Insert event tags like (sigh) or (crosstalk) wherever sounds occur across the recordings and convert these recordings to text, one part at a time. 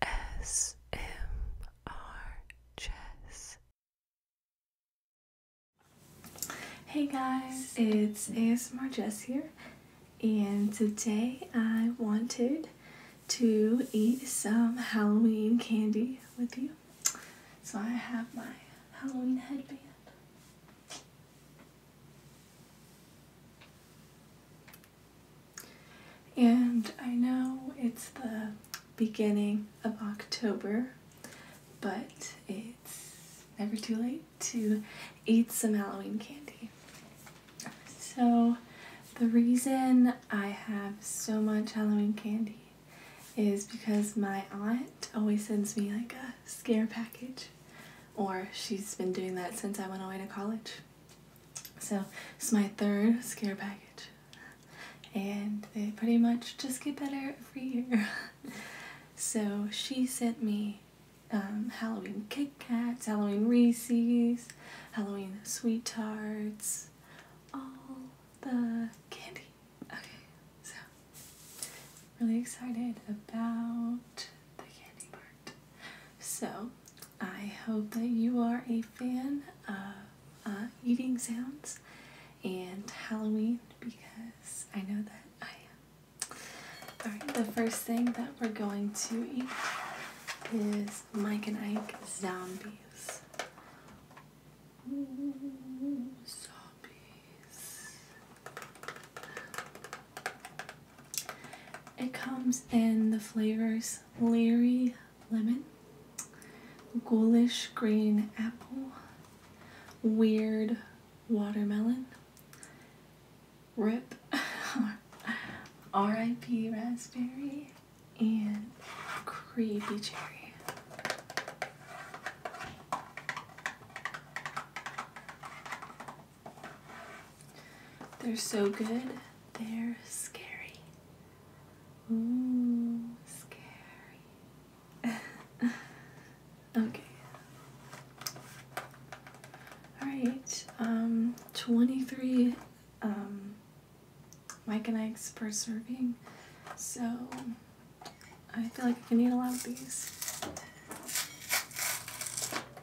ASMR Chess. Hey guys, it's ASMR Jess here, and today I wanted to eat some Halloween candy with you. So I have my Halloween headband. And I know it's the beginning of October, but it's never too late to eat some Halloween candy. So the reason I have so much Halloween candy is because my aunt always sends me like a scare package or she's been doing that since I went away to college. So it's my third scare package. And they pretty much just get better every year. (laughs) so she sent me um, Halloween Kit Kats, Halloween Reese's, Halloween Sweet Tarts, all the candy. Okay, so really excited about the candy part. So, I hope that you are a fan of uh, eating sounds and Halloween because I know that I am. Alright, the first thing that we're going to eat is Mike and Ike Zombies. zombies. It comes in the flavors Leery Lemon, Ghoulish Green Apple, Weird Watermelon, Rip, (laughs) R.I.P. Raspberry, and Creepy Cherry. They're so good, they're scary. Ooh, scary. (laughs) okay. Alright, um, 23 um, Mike and Ike's per serving, so I feel like I can eat a lot of these.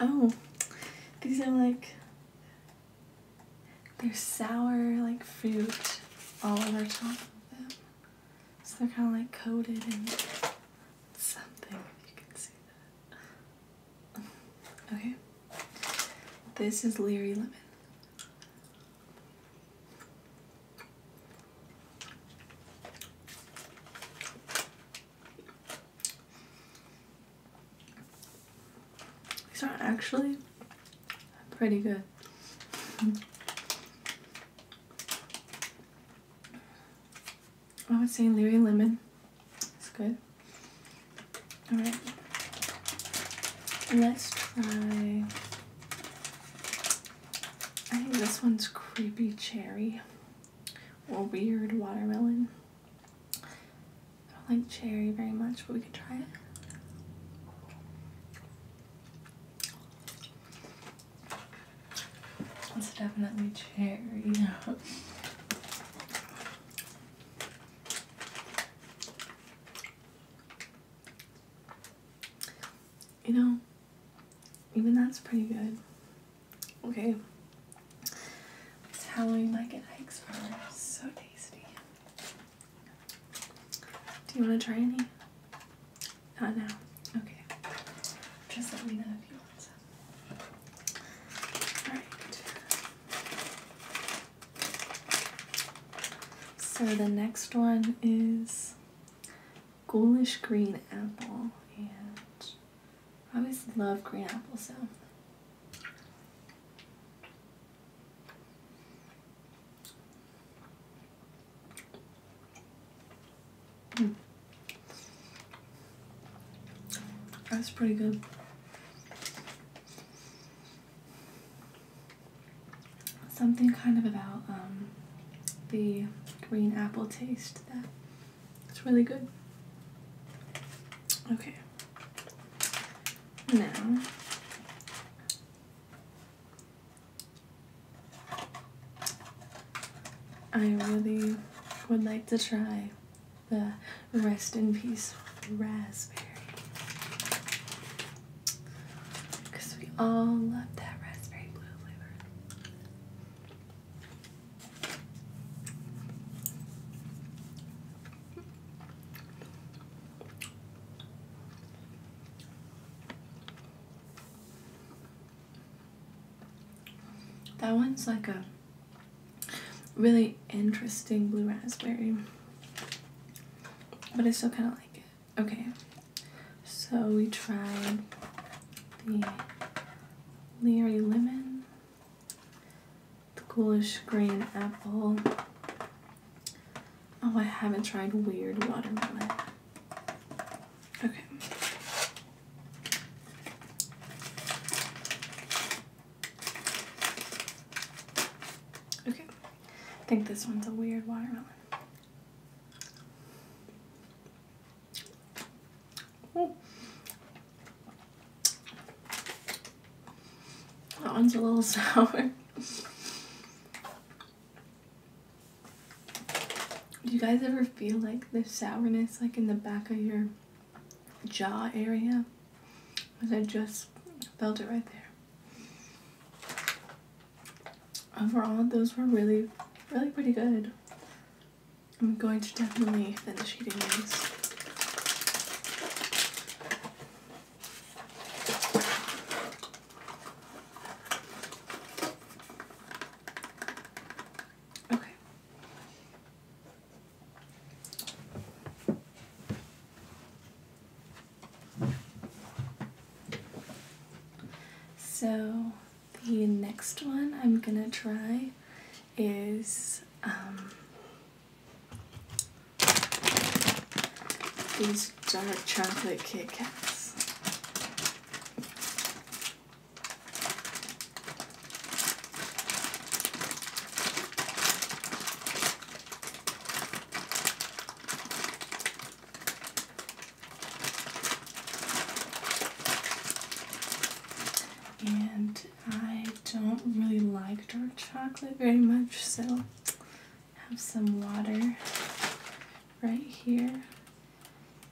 Oh, these are like, they're sour, like fruit all over top of them. So they're kind of like coated in something, if you can see that. (laughs) Okay. This is leery Lemon. These are actually pretty good. I would say Leary Lemon. It's good. Alright. Let's try... I think this one's Creepy Cherry or weird watermelon. I don't like cherry very much, but we could try it. It's definitely cherry. (laughs) you know, even that's pretty good. Okay. It's Halloween eggs are so tasty. Do you want to try any? Not now. Okay. Just let me know if you want some. Alright. So the next one is ghoulish green apple and I always love green apple So hmm. That's pretty good. Something kind of about um, the green apple taste that it's really good. Okay. Now, I really would like to try the rest in peace raspberry. Because we all love that raspberry blue flavor. That one's like a really interesting blue raspberry, but I still kind of like it. Okay, so we tried the Leery Lemon, the Ghoulish Green Apple. Oh, I haven't tried Weird Watermelon. Okay. Okay. I think this one's a weird watermelon. That one's a little (laughs) sour. Do you guys ever feel like the sourness like in the back of your jaw area? Because I just felt it right there. Overall, those were really, really pretty good. I'm going to definitely finish eating these. Okay. So the next one I'm gonna try is um, these dark chocolate Kit and I don't really like dark chocolate very much, so have some water right here.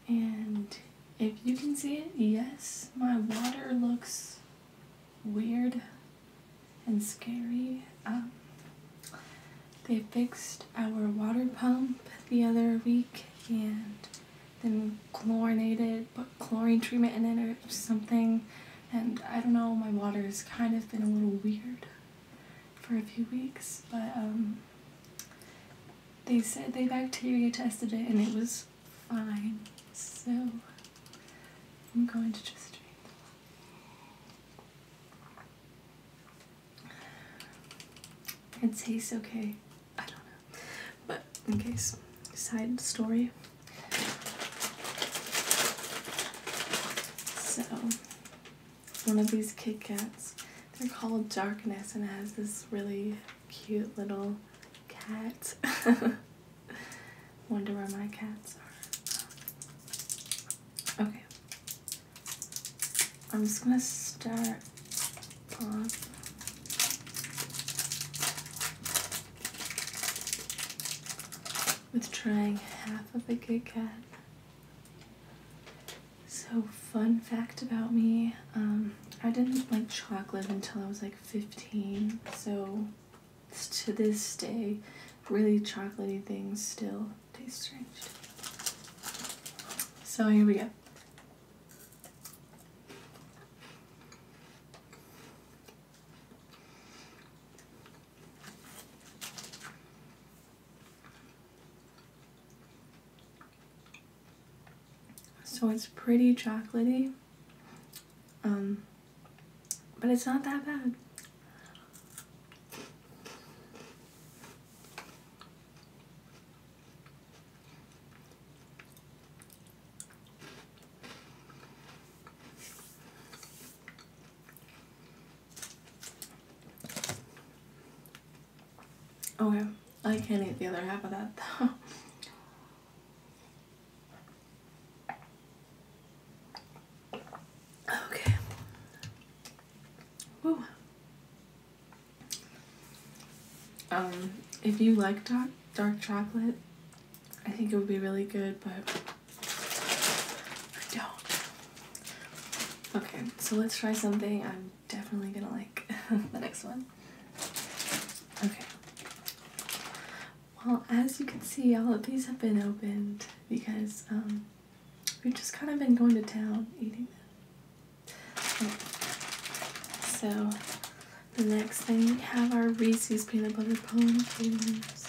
And if you can see it, yes, my water looks weird and scary. Um, they fixed our water pump the other week and then chlorinated, but chlorine treatment in it or something. And I don't know, my water has kind of been a little weird for a few weeks, but um, they said they bacteria tested it and it was fine. So I'm going to just drink. It tastes okay. I don't know. But in case, side story. So, one of these Kit Kats, they're called Darkness and it has this really cute little cat. (laughs) Wonder where my cats are. Okay. I'm just gonna start with trying half of a Kit Kat. So, fun fact about me um, I didn't like chocolate until I was like 15. So, to this day, really chocolatey things still taste strange. So, here we go. So it's pretty chocolatey, um, but it's not that bad. Okay, I can't eat the other half of that (laughs) though. Okay. Woo. Um, if you like dark, dark chocolate, I think it would be really good, but I don't. Okay, so let's try something I'm definitely gonna like (laughs) the next one. Okay. Well, as you can see, all of these have been opened because um, we've just kind of been going to town eating them. So the next thing we have our Reese's peanut butter pumpkins.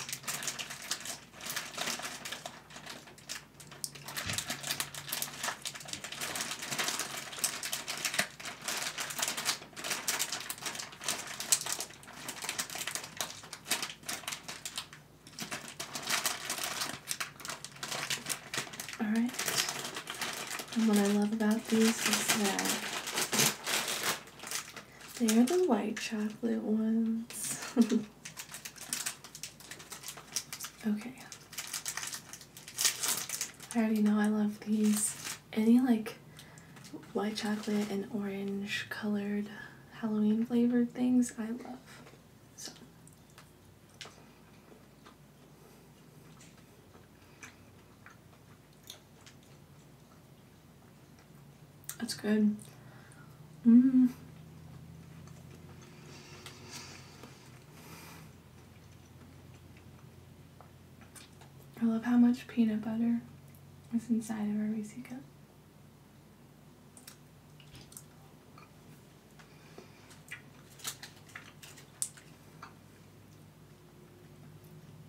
Alright. And what I love about these is that they are the white chocolate ones. (laughs) okay. I already know I love these. Any like white chocolate and orange colored Halloween flavored things I love. So that's good. Mm. I love how much peanut butter is inside of our Reese cup.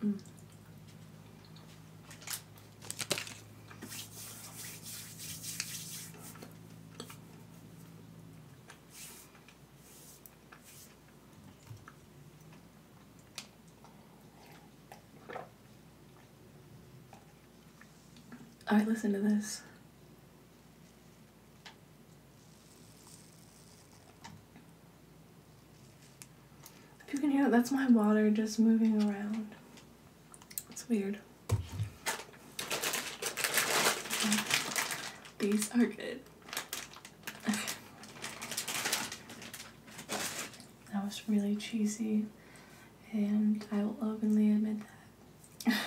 Mm. I listen to this. If you can hear it, that's my water just moving around. It's weird. These are good. (laughs) That was really cheesy, and I will openly admit that. (laughs)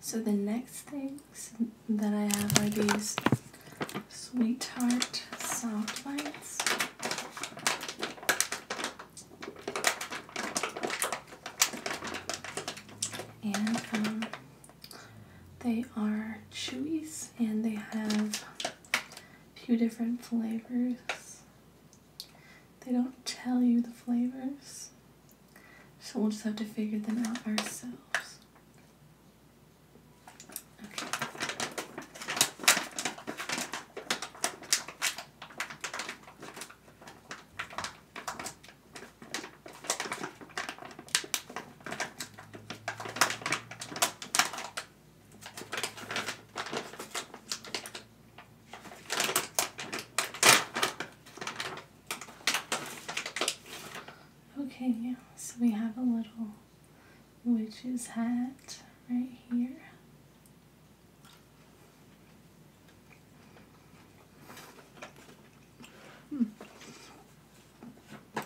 So the next things that I have are these Sweetheart soft lights. And um, they are chewies and they have a few different flavors. They don't tell you the flavors. So we'll just have to figure them out ourselves. Okay. Okay, so we have a little witch's hat right here. Hmm. I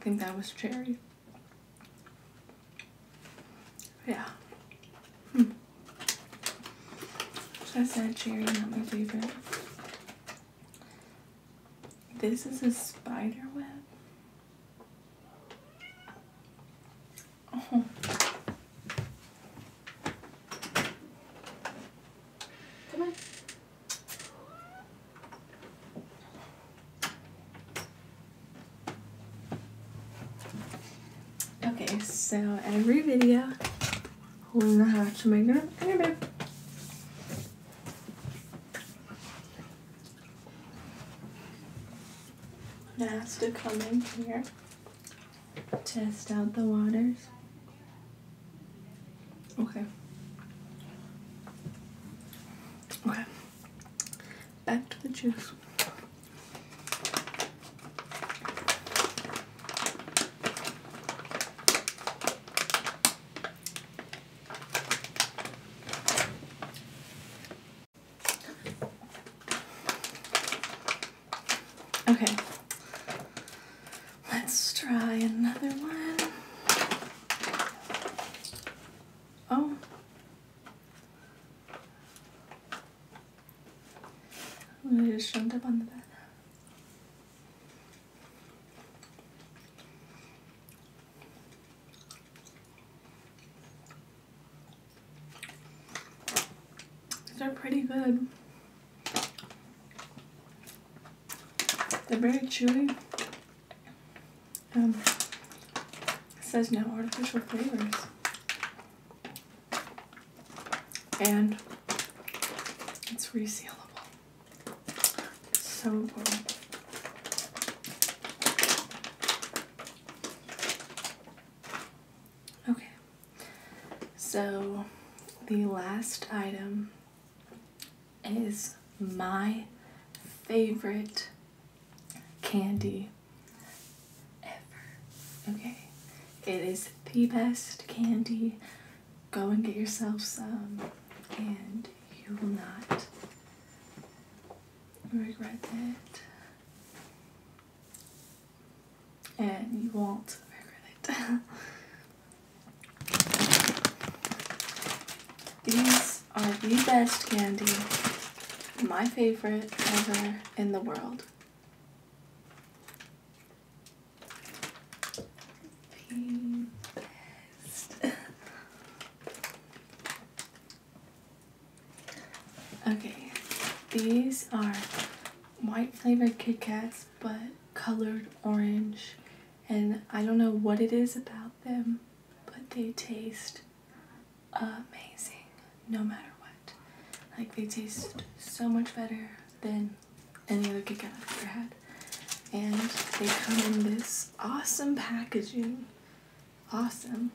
think that was cherry. Yeah. Hmm. So I said cherry, not my favorite. This is a spider web. Oh. Come on. Okay, so every video hole in the hatch. Am I going has to come in here, test out the waters. Okay. Okay. Back to the juice. Okay. Let's try another one. Oh. I just jumped up on the bed. These are pretty good. They're very chewy. Um, says no artificial flavors. And it's resealable. So Okay, so the last item is my favorite candy ever. Okay, it is the best candy go and get yourself some, and you will not regret it. And you won't regret it. (laughs) These are the best candy, my favorite ever in the world best. okay, these are white flavored Kit but colored orange. And I don't know what it is about them, but they taste amazing no matter what. Like, they taste so much better than um, any other Kit Kat I've ever had. And they come in this awesome packaging. Awesome.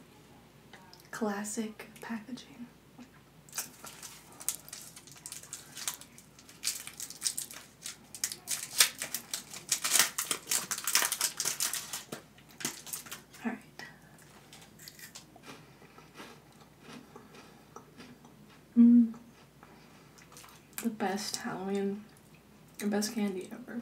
Classic packaging. Alright. Mm the best Halloween, the best candy ever.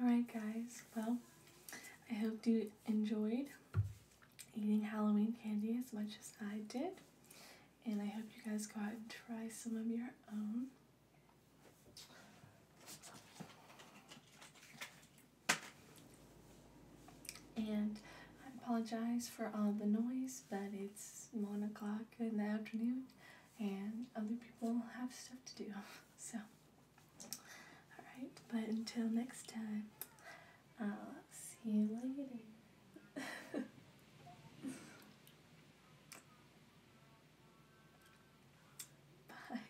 Alright guys, well, I hope you enjoyed eating Halloween candy as much as I did. And I hope you guys go out and try some of your own. And I apologize for all the noise, but it's 1 o'clock in the afternoon and other people have stuff to do. (laughs) So, alright, but until next time, I'll see you later. (laughs) Bye.